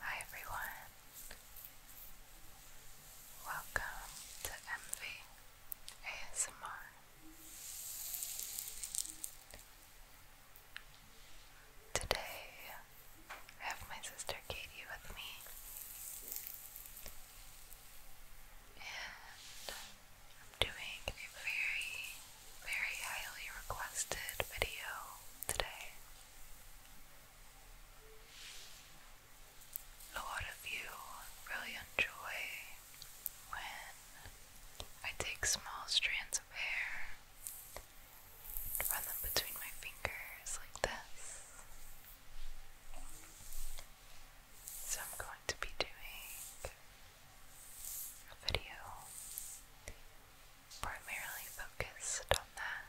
Hi everyone, welcome to MV ASMR. Today I have my sister Katie with me, and I'm doing a very, very highly requested video today. A lot of you really enjoy when I take small strands of hair and run them between my fingers like this. So I'm going to be doing a video primarily focused on that.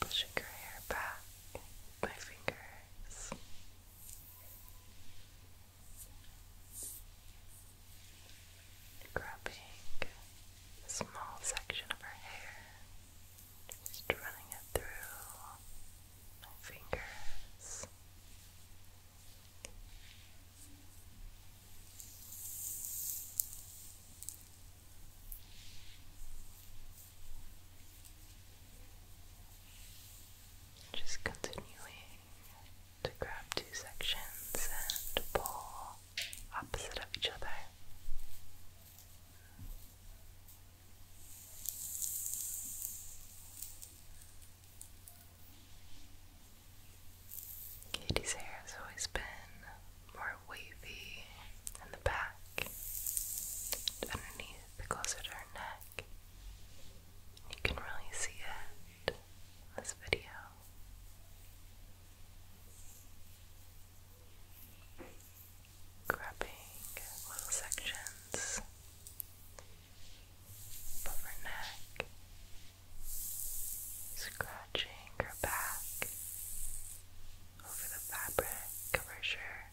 Pushing her hair back with my fingers. Grabbing a small section of her hair just running it through my fingers. Just continuing to grab two sections and pull opposite of each other. Katie's hair has always been more wavy in the back, underneath, closer to her neck. You can really see it in this video grabbing little sections of her neck, scratching her back over the fabric of her shirt.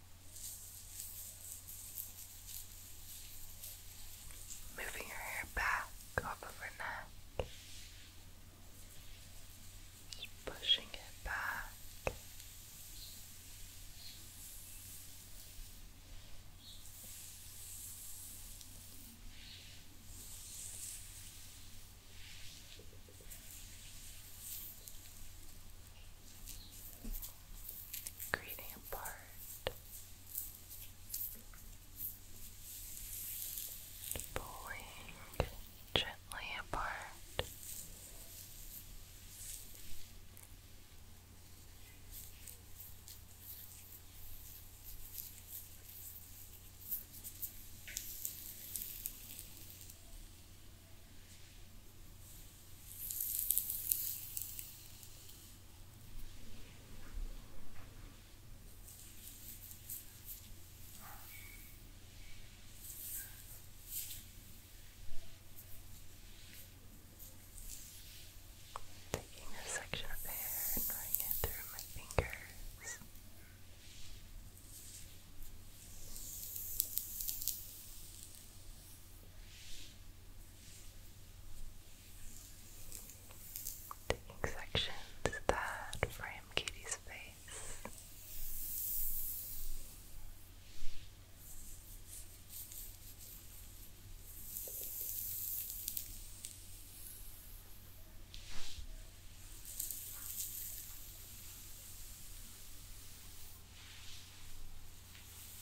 Moving your hair back off of her neck. Just pushing it back gradient part pulling gently apart Taking a section of hair and running it through my fingers. Taking sections that frame Katie's face.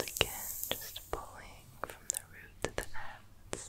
Again, just pulling from the root to the ends.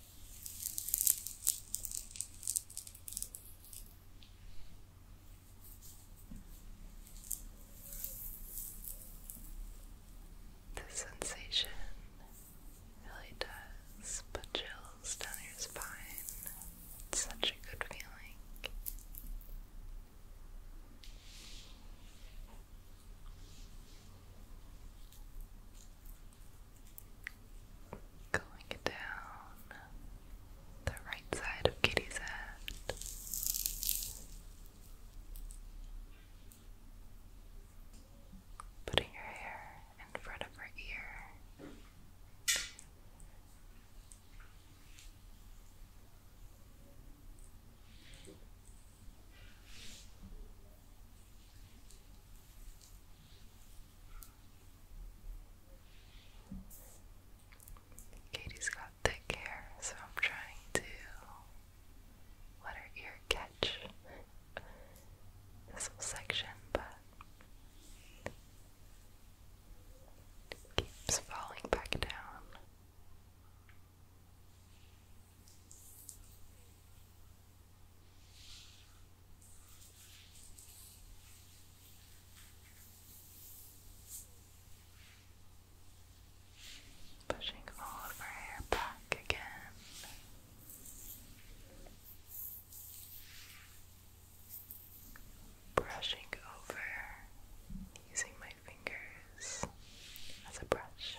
The sensation really does put chills down your spine. such a good feeling. Going down the right side of Kitty's head. Putting your hair in front of her ear. Katie's got thick hair, so I'm trying to let her ear catch this whole section, but keeps falling back down. Pushing all of our hair back again. Brushing over using my fingers as a brush.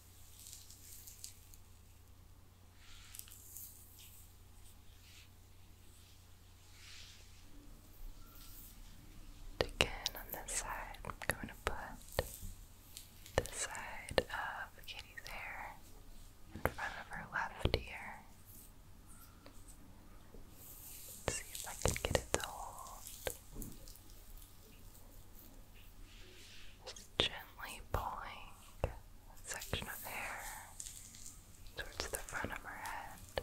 Again on this side, I'm going to put this side of Kitty's hair in front of her left ear. see if I can get it to hold. Just gently pulling a section of hair towards the front of her head.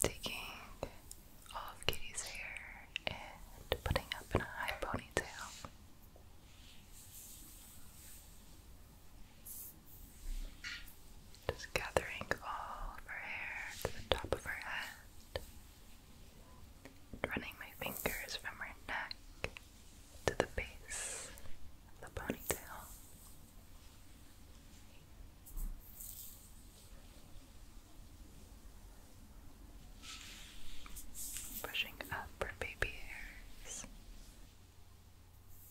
Taking all of Kitty's hair and putting up in a high ponytail. Just gathering all of her hair to the top of her head, running my fingers from her neck to the base of the ponytail. Pushing up her baby hairs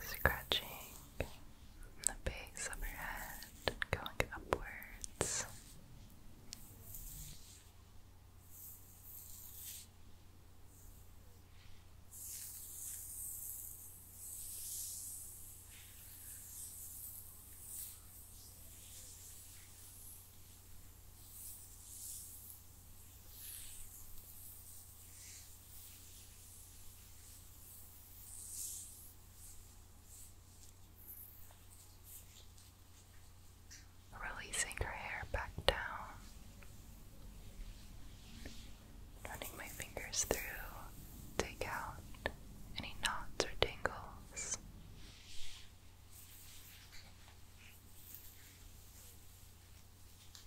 Scratching the base of her head, going upwards. Releasing her hair back down, running my fingers through, take out any knots or tangles.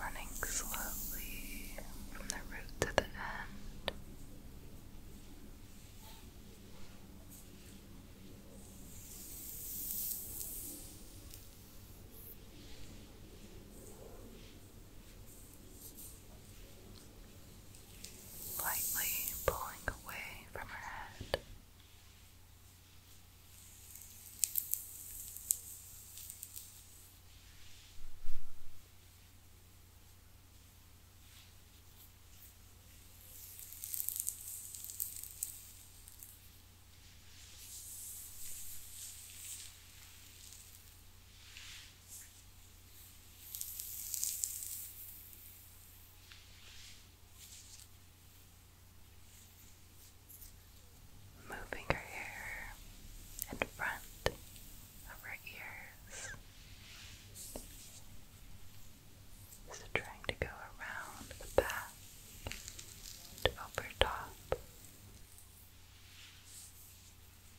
Running slowly from the root to the end lightly pulling away from her head. Moving her hair in front of her ears. So trying to go around the back and over top.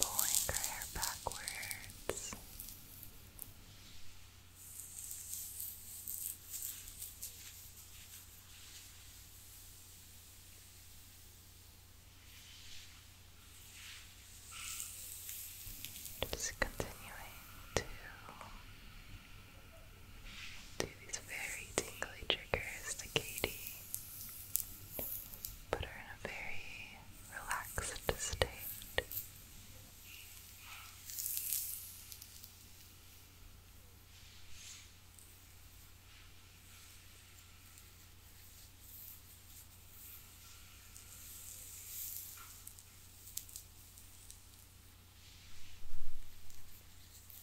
pulling her hair backwards. Just continuing to do these very tingly triggers to put her in a very relaxed state.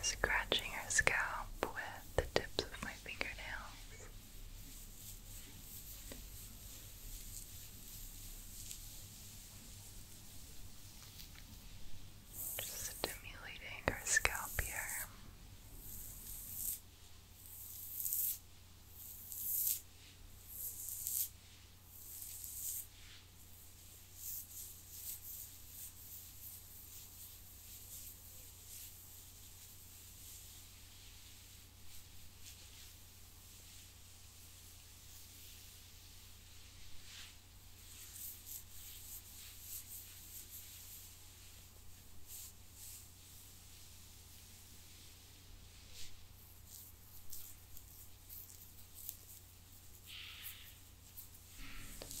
Scratching her scalp with the tips of my fingernails. Just stimulating our scalp here.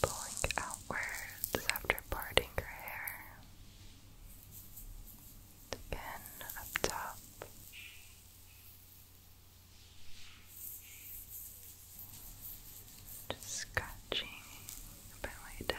Pulling outwards after parting her hair the pen up top. Just scratching the belly down.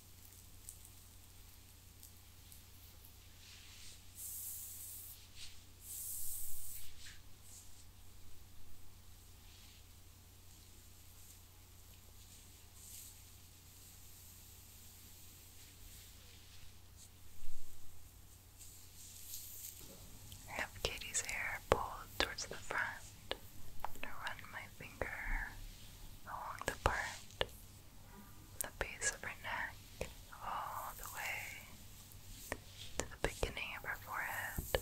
Have Katie's hair pulled towards the front. run my finger along the part the base of her neck all the way to the beginning of her forehead.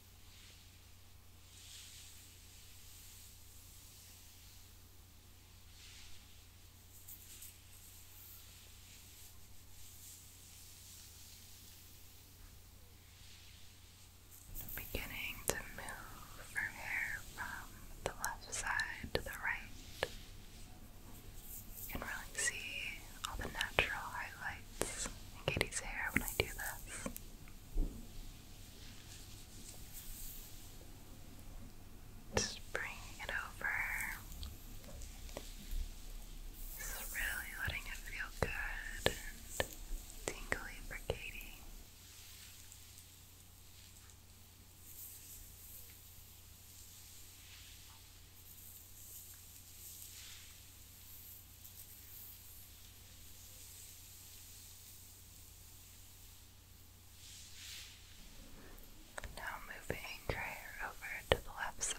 Beginning to move her hair from the left side to the right. You can really see all the natural highlights in Katie's hair when I do this. Just bring it over. Just really letting it feel good and tingly for now moving your over to the left side.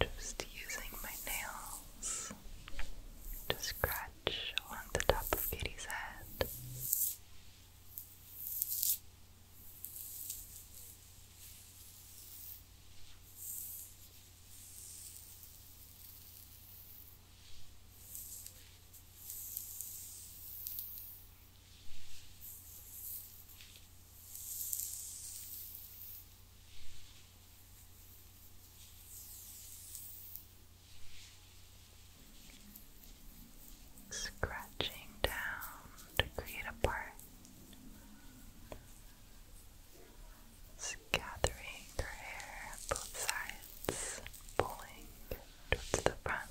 Just using my nails to scratch on the top of Kitty's head. Scratching down to create a part. Gathering her hair both sides, pulling towards the front.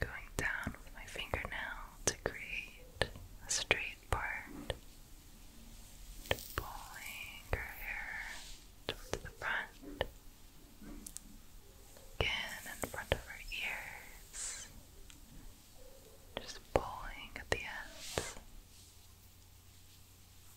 Going down with my fingernail to create a straight part. pulling her hair just the front. Again in front of her ears. Just pulling at the ends.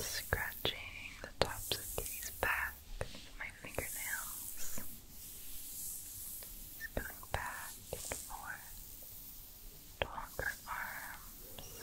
Scratching the tops of these back with my fingernails. going back and forth longer arms.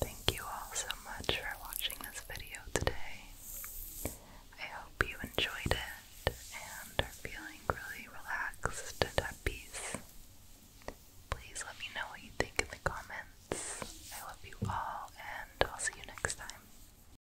Thank you all so much for watching this video today. I hope you enjoyed it and are feeling really relaxed and at peace. Please let me know what you think in the comments. I love you all, and I'll see you next time.